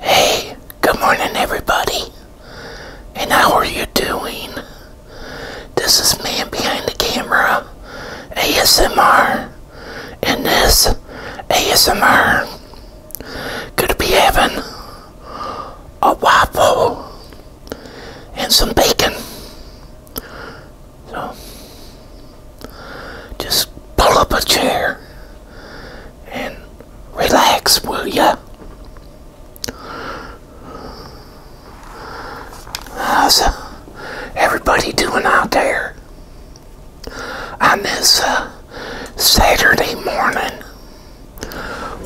Hey, good morning, everybody, and how are you doing? This is Man Behind the Camera ASMR, and this ASMR could be having a waffle and some bacon. So, just pull up a chair and relax, will ya? How's uh, everybody doing out there I miss uh, Saturday morning?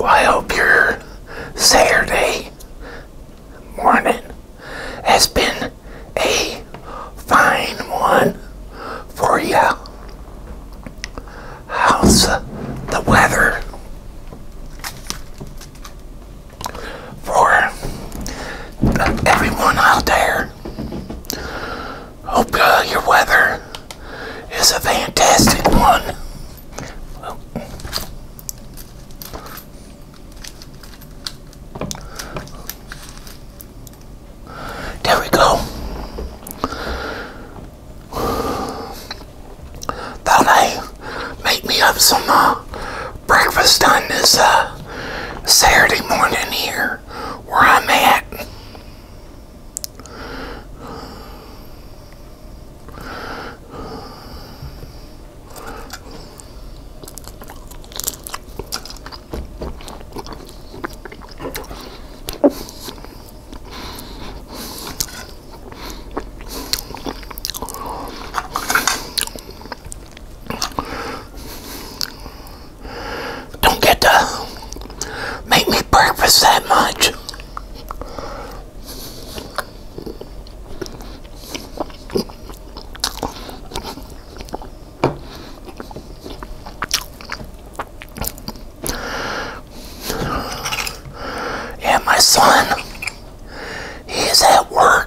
I hope your Saturday morning has been a fine one for you. How's the weather for everyone out there? Hope uh, your weather is a fantastic one. There we go. Thought make me up some uh, breakfast on this uh, Saturday morning here where I'm at. Don't get to make me breakfast that much. Yeah, my son, is at work.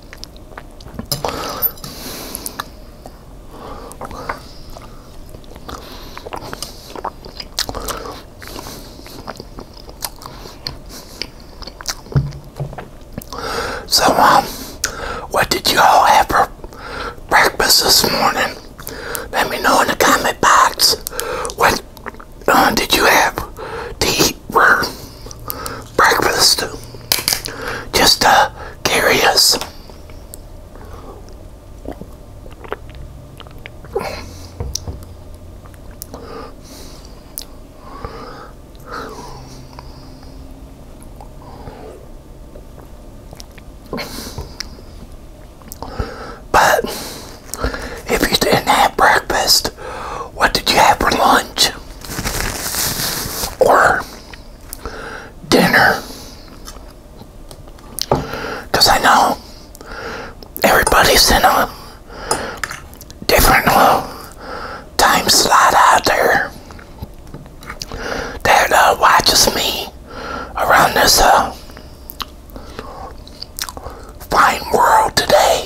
So, um, what did you all have for breakfast this morning? Let me know in the comment box. What uh, did you have to for breakfast. Just uh, curious. But if you didn't have breakfast, what did you have for lunch? or dinner. Because I know everybody's in a different uh, time slot out there that uh, watches me around this uh, fine world today.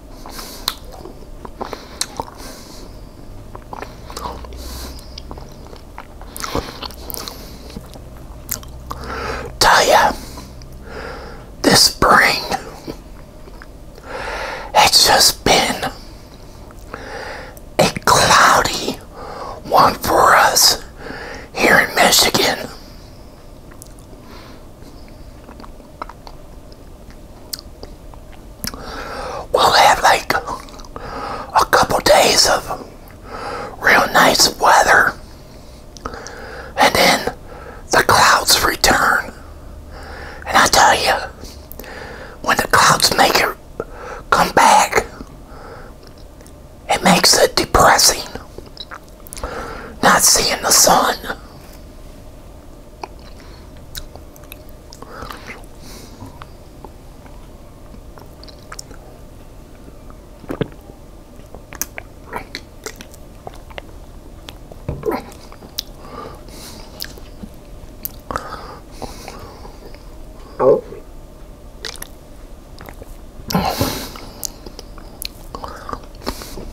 Tell ya, this spring, it's just been a cloudy one for us here in Michigan. We'll have like a couple days of real nice weather, and then the clouds return. And I tell you, when the clouds make it come back, it makes it depressing not seeing the sun. Oh.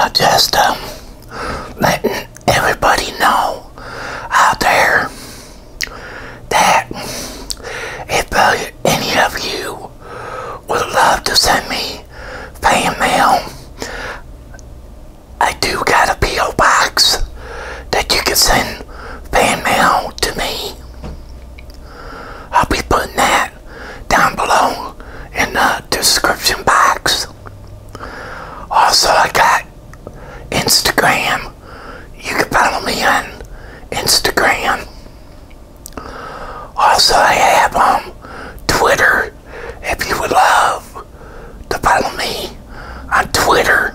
I just uh, um, letting everybody know out there that if uh, any of you would love to send me fan mail, I do got a P.O. box that you can send fan mail to me. I'll be putting that down below in the description box. Also, I got Instagram. You can follow me on Instagram. Also, I have um, Twitter. If you would love to follow me on Twitter.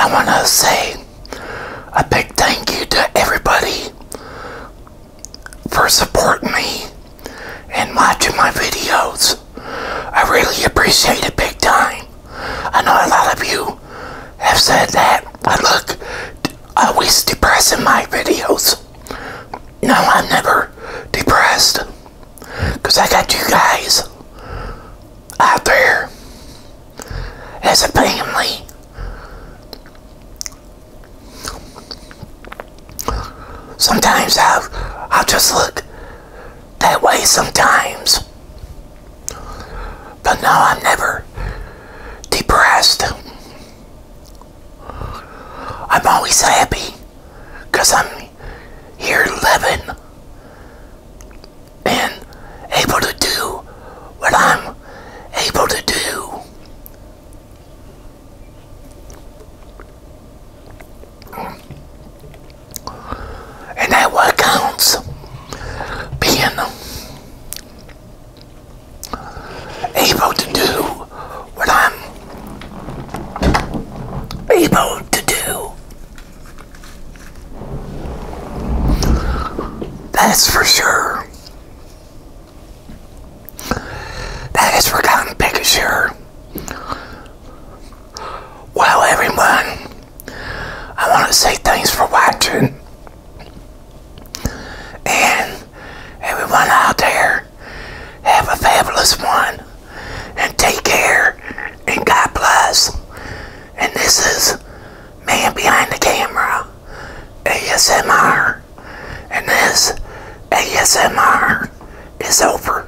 I want to say a big thank you to everybody for supporting me and watching my videos. I really appreciate it big time. I know a lot of you have said that I look always depressed in my videos. No, I'm never depressed. Because I got you guys out there as a family. Sometimes i I'll just look that way sometimes. But no, I'm never depressed. I'm always happy because I'm here living and able to do what I'm able to do. And that what counts being able to do what I'm able to do. That's for sure. That is for gotten picture. Well, everyone. I want to say thanks for watching. And everyone out there, have a fabulous one. And take care. And God bless. And this is Man Behind the Camera, ASMR. And this ASMR is over.